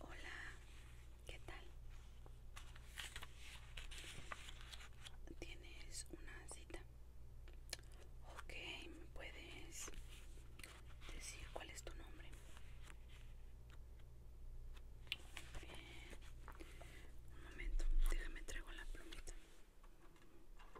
Hola, ¿qué tal? ¿Tienes una cita? Ok, ¿me puedes decir cuál es tu nombre? Bien. Un momento, déjame traigo la plumita.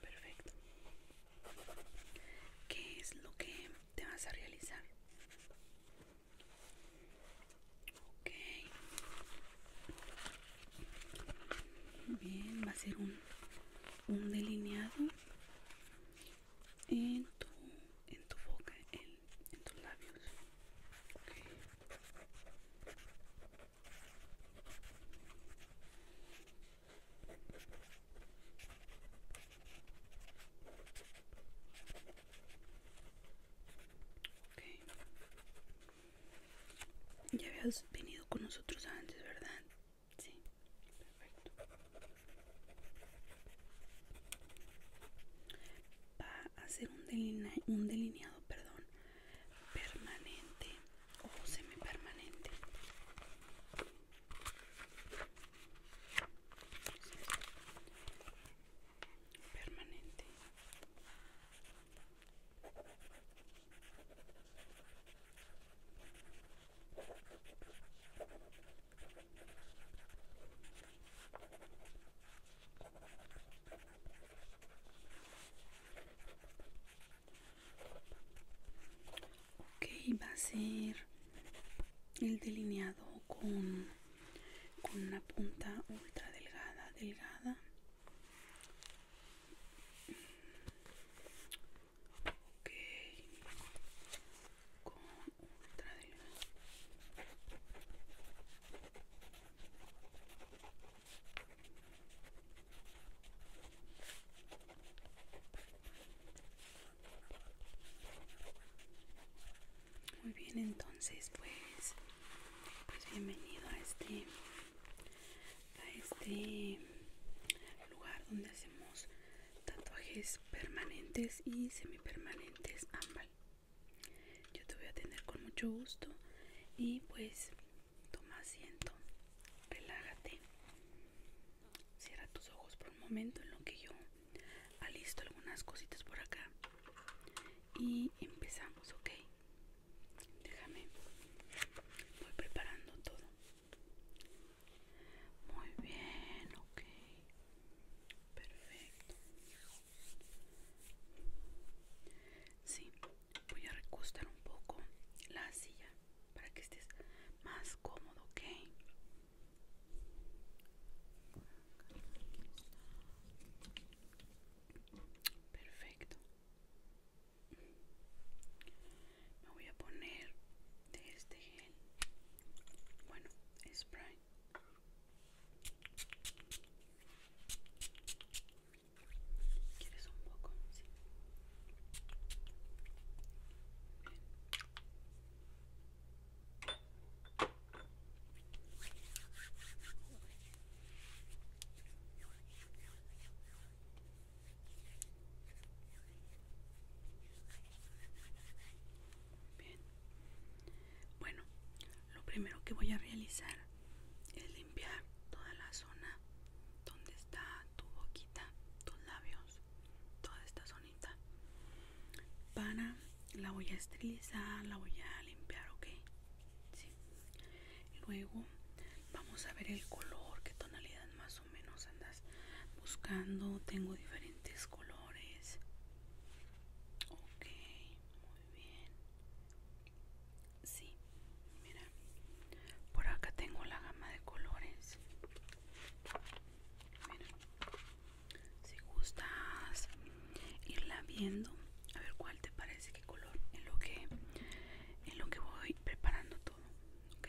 Perfecto. ¿Qué es lo que te vas a realizar? Okay. Bien, va a ser un, delineado en tu, tu boca, en, tus labios. Ya habías venido con nosotros antes, ¿verdad? Sí. Perfecto. Va a hacer un delineado, perdón, permanente o semipermanente permanente Ok, va a ser el delineado con, con una punta ultra delgada, delgada. Ok, con ultra delgada. Muy bien, entonces pues, pues bienvenido este, a este lugar donde hacemos tatuajes permanentes y semipermanentes ambal. Yo te voy a atender con mucho gusto y pues toma asiento, relájate, cierra tus ojos por un momento en lo que yo alisto algunas cositas por acá y empezamos, ¿ok? Déjame, voy preparando todo. Muy bien, ok. Perfecto. Sí, voy a recostar un poco la silla para que estés más cómodo, ¿ok? Perfecto. Me voy a poner de este gel. Bueno, spray. ¿Quieres un poco? Sí. Bien. Bueno, lo primero que voy a realizar es limpiar toda la zona donde está tu boquita, tus labios, toda esta zonita. Para la voy a esterilizar, la voy a limpiar, ok. Sí. Luego vamos a ver el color, qué tonalidad más o menos andas buscando. Tengo diferentes colores. Ok, bien sí mira por acá tengo la gama de colores si gustas irla viendo a ver cuál te parece qué color en lo que en lo que voy preparando todo ok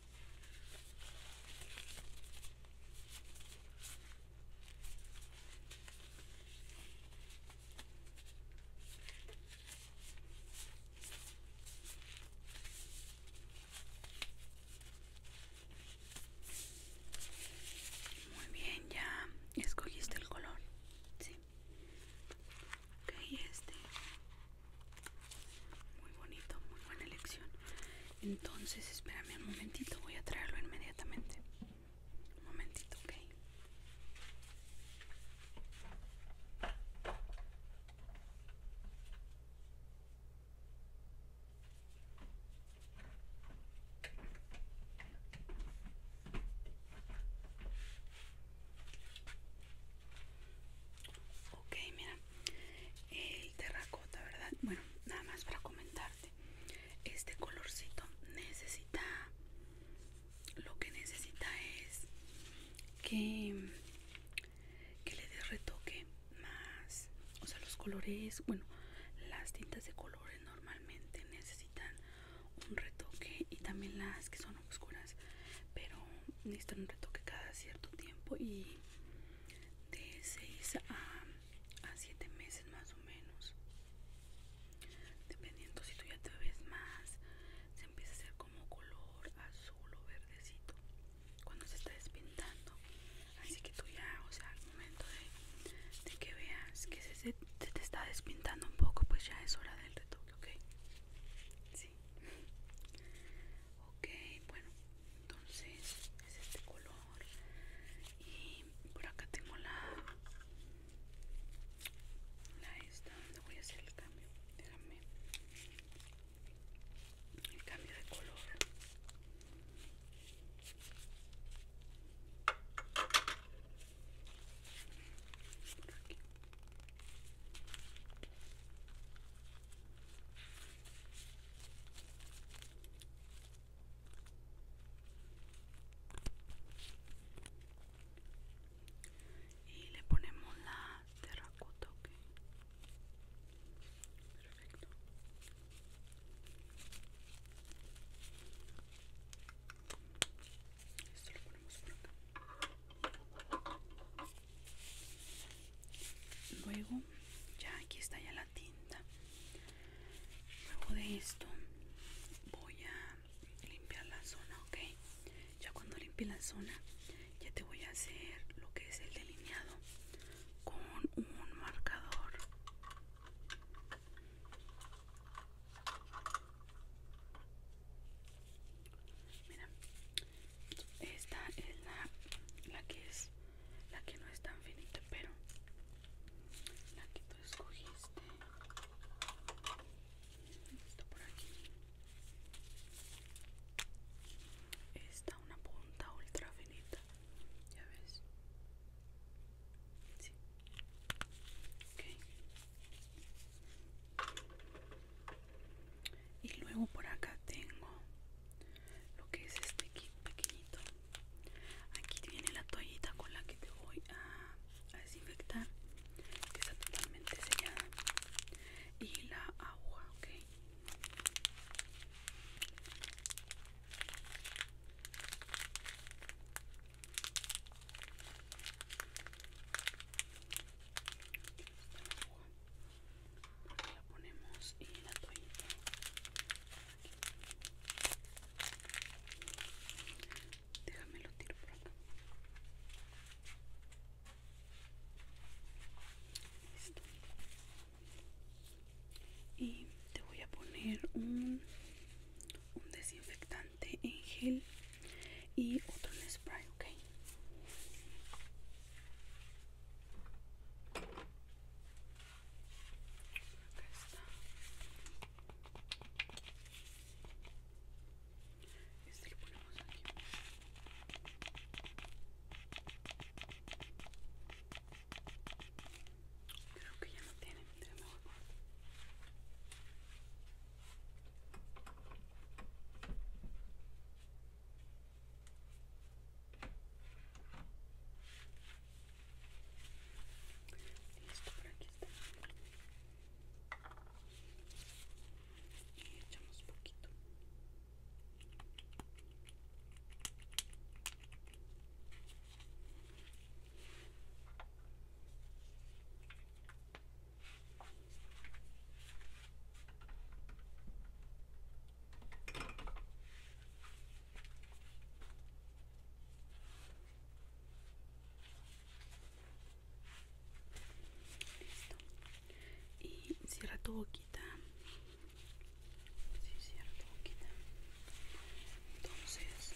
Muy bien, ya escogiste el color. Sí. Ok, este. Muy bonito, muy buena elección. Entonces, espérame un momentito, voy a traerlo inmediatamente. Un momentito, ok. Ok, mira, el terracota, ¿verdad? Bueno, nada más para comentarte. Este colorcito necesita, lo que necesita es que, que le des retoque más. O sea, los colores, bueno, las tintas de colores normalmente necesitan un retoque y también las que son oscuras pero necesitan un retoque cada cierto tiempo y de 6 a, a 7 meses más o menos dependiendo si tú ya te ves más se empieza a hacer como color azul o verdecito cuando se está despintando así que tú ya o sea al momento de, que veas que se, te está despintando un poco pues ya es hora del retoque ok ok bueno entonces es este color y por acá tengo la la esta donde voy a hacer el cambio déjame el cambio de color por aquí y le ponemos la terracota ok perfecto ponemos luego ya aquí está ya la tinta luego de esto voy a limpiar la zona ok ya cuando limpie la zona ya te voy a hacer lo que es el delineado con un marcador mira esta es la, que es la que no es tan finita, pero la que tú escogiste. Está por aquí. Esta una punta ultra finita. Ya ves. Sí. Ok y luego por acá tengo lo que es este kit pequeñito aquí viene la toallita con la que te voy a, a desinfectar que está totalmente sellada y la agua ok la ponemos y la toallita déjame lo tiro por acá listo y te voy a poner un un desinfectante en gel y otro en spray, ok. Acá está. Este lo ponemos aquí. Creo que ya no tiene, tenemos Listo, por aquí está. Y echamos poquito. Listo. Y cierra tu boquita. Sí, cierra tu boquita. Entonces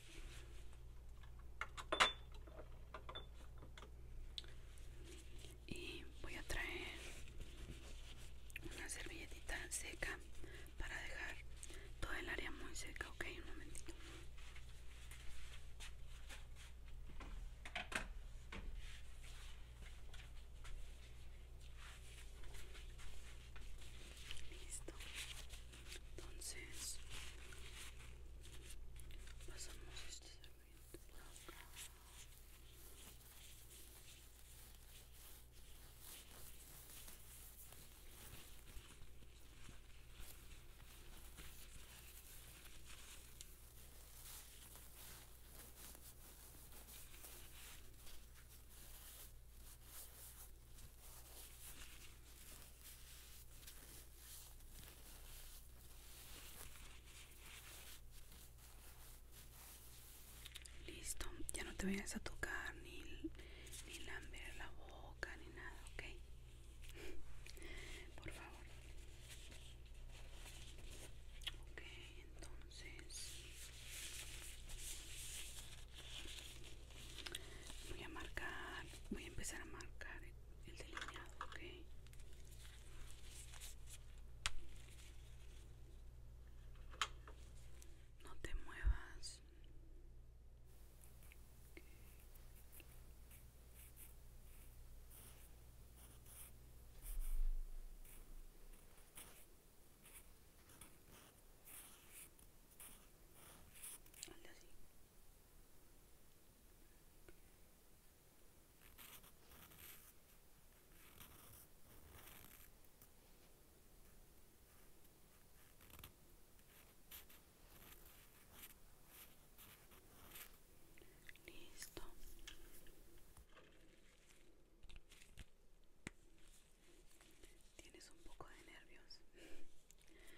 y voy a traer una servilletita seca para dejar todo el área muy seca ok un momentito listo entonces pasamos este serviente Listo, ya no te vayas a tocar ni, ni la boca ni nada, ¿ok? Por favor. Okay, entonces voy a marcar voy a empezar a marcar el delineado ok no te muevas así. Listo. Tienes un poco de nervios. No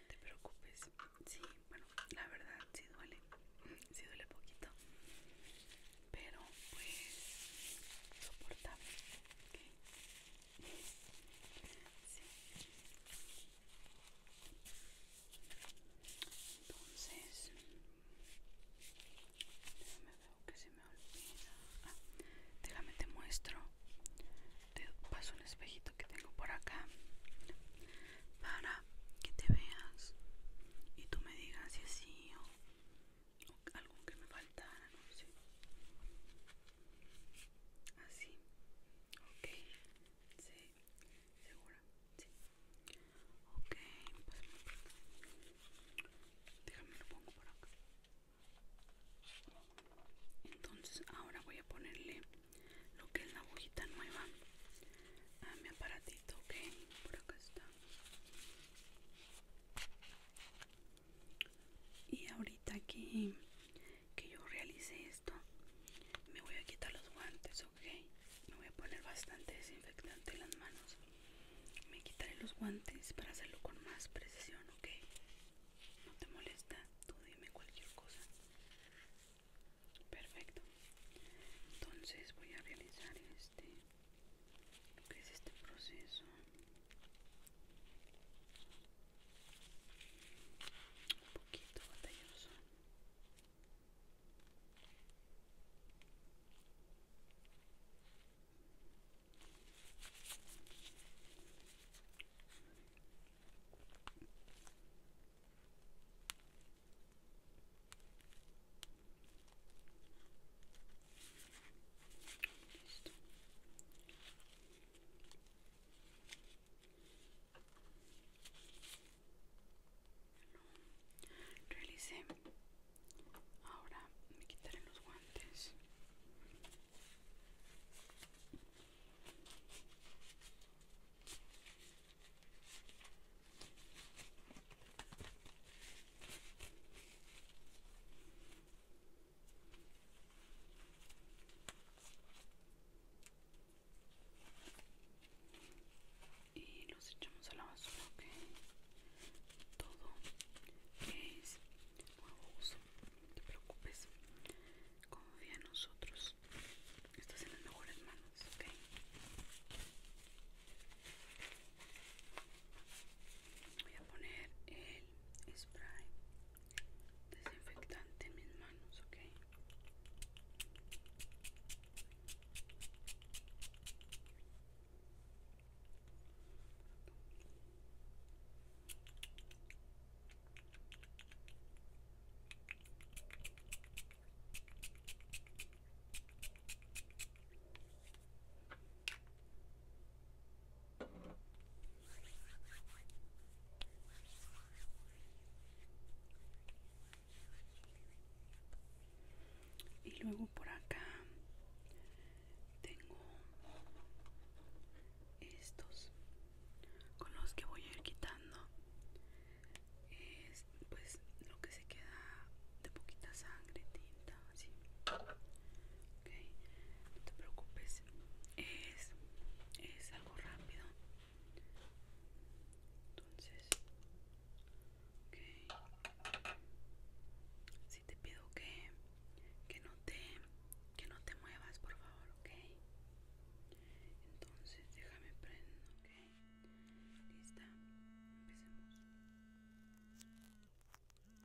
te preocupes. Sí, bueno, la verdad sí duele. Sí duele poquito. Pero pues soportable. ¿Ok? Sí. Entonces, déjame ver, que se me olvida. Ah, déjame te muestro te paso un espejito que tengo por acá para que te veas y tú me digas si así o, algo que me faltara, no sé. Así, ah, ok, sí, segura, sí. Ok, déjame lo pongo por acá entonces ahora voy a ponerle lo que es la agujita nueva a mi aparatito ok por acá está y ahorita que, que yo realice esto me voy a quitar los guantes ok me voy a poner bastante desinfectante en las manos me quitaré los guantes para hacerlo con más precisión ok no te molesta, tú dime cualquier cosa. Perfecto. Entonces voy a realizar este, este proceso. Un poquito batalloso. Listo. Ahora me quitaré los guantes y los echamos a la basura que todo es nuevo uso no te preocupes. Confía en nosotros. Estás en las mejores manos, ¿ok? Voy a poner el spray desinfectante en mis manos, ¿ok? y luego por acá tengo estos con los que voy a ir quitando es, pues lo que se queda de poquita sangre tinta así okay. no te preocupes es, es algo rápido entonces okay. si te pido que que no te que no te muevas por favor ok entonces déjame prender, ok lista empecemos Déjame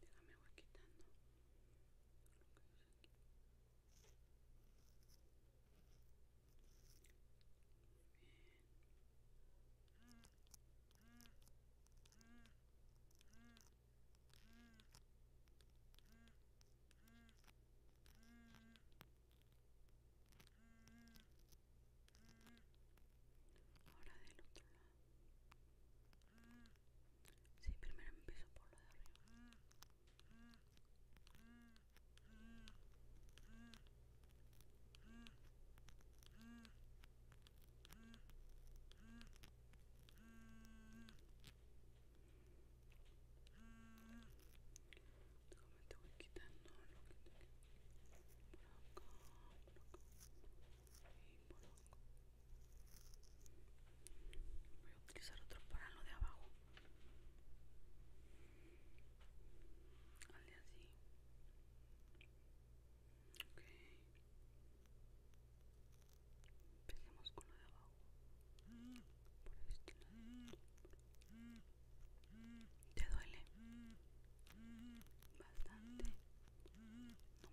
voy quitando. Ahora del otro lado. Sí, primero empiezo por la de arriba. quitando lo que te por y por voy a utilizar otro para lo de abajo Hazle así ok empecemos con lo de abajo por este lado te duele bastante no mucho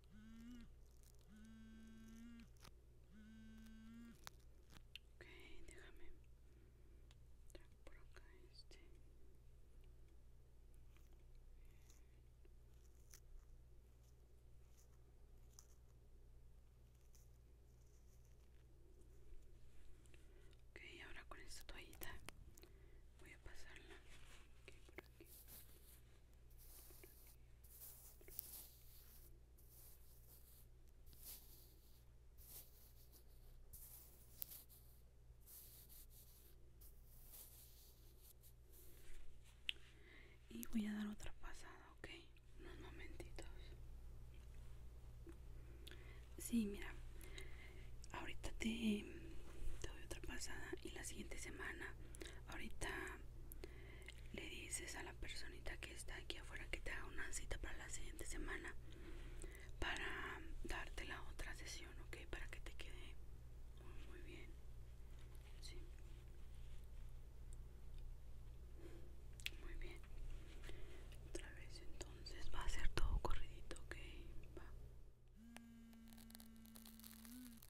Ok, déjame traer por acá este. Ok, ahora con esta toallita voy a pasarla. por aquí y voy a dar otra pasada ok unos momentitos Sí, mira, ahorita te, te doy otra pasada y la siguiente semana, ahorita le dices a la personita que está aquí afuera que te haga una cita para la siguiente semana para darte la otra sesión, ok, para que te quede muy, muy bien. Sí. Muy bien. Otra vez entonces va a ser todo corridito, ok. Va.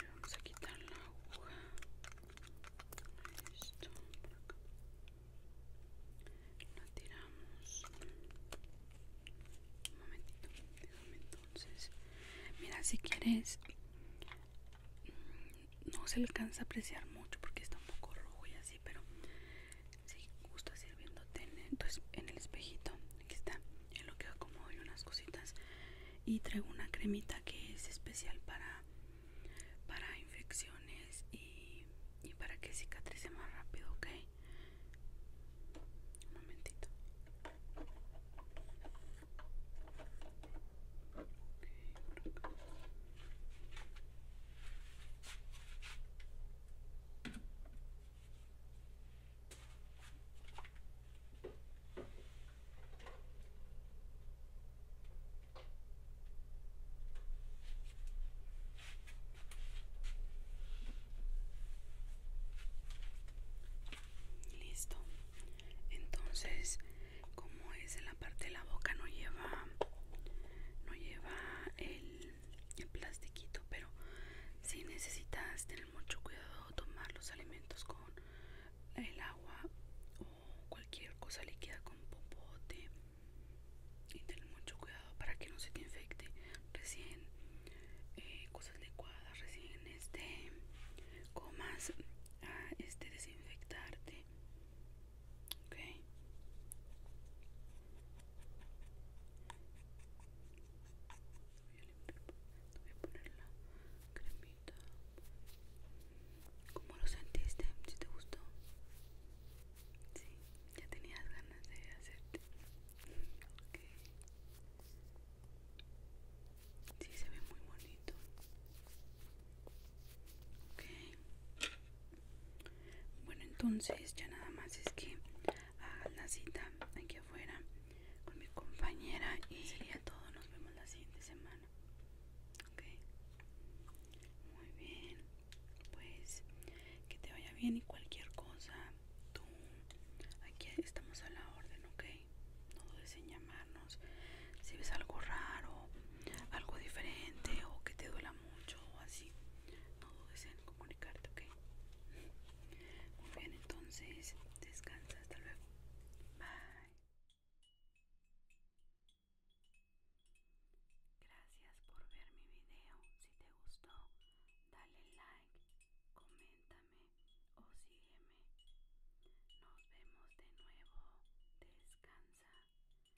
le vamos a quitar la aguja esto lo tiramos un momentito entonces mira si quieres mm, no se alcanza a apreciar mucho porque está un poco rojo y así pero si gusta ir viéndote pues, en el, espejito aquí está en lo que acomodo y unas cositas y traigo una cremita que es especial para para infecciones y, para que cicatrice más rápido ok un momentito Listo. Entonces, como es en la parte de la boca no lleva no lleva el, plastiquito, pero si necesitas tener mucho cuidado tomar los alimentos con el agua o cualquier cosa líquida con popote y ten mucho cuidado para que no se te infecte recién eh, cosas adecuadas recién este comas a este desinfectarte ok voy a limpiar voy a poner la cremita ¿cómo lo sentiste? ¿si te gustó? sí, ya tenías ganas de hacerte ok sí, se ve muy bonito ok bueno entonces ya nada más es que hagas la cita aquí afuera con mi compañera y a todos Nos vemos la siguiente semana. Ok. Muy bien. Pues que te vaya bien y cualquier cosa. Tú. Aquí estamos a la orden, ok. No dudes en llamarnos. Si ves algo raro, algo diferente o que te duela mucho o así. No dudes en comunicarte, ok. Muy bien, entonces Descansa, hasta luego. Bye. Gracias por ver mi video. Si te gustó, dale like, coméntame o sígueme. Nos vemos de nuevo. Descansa. Bye.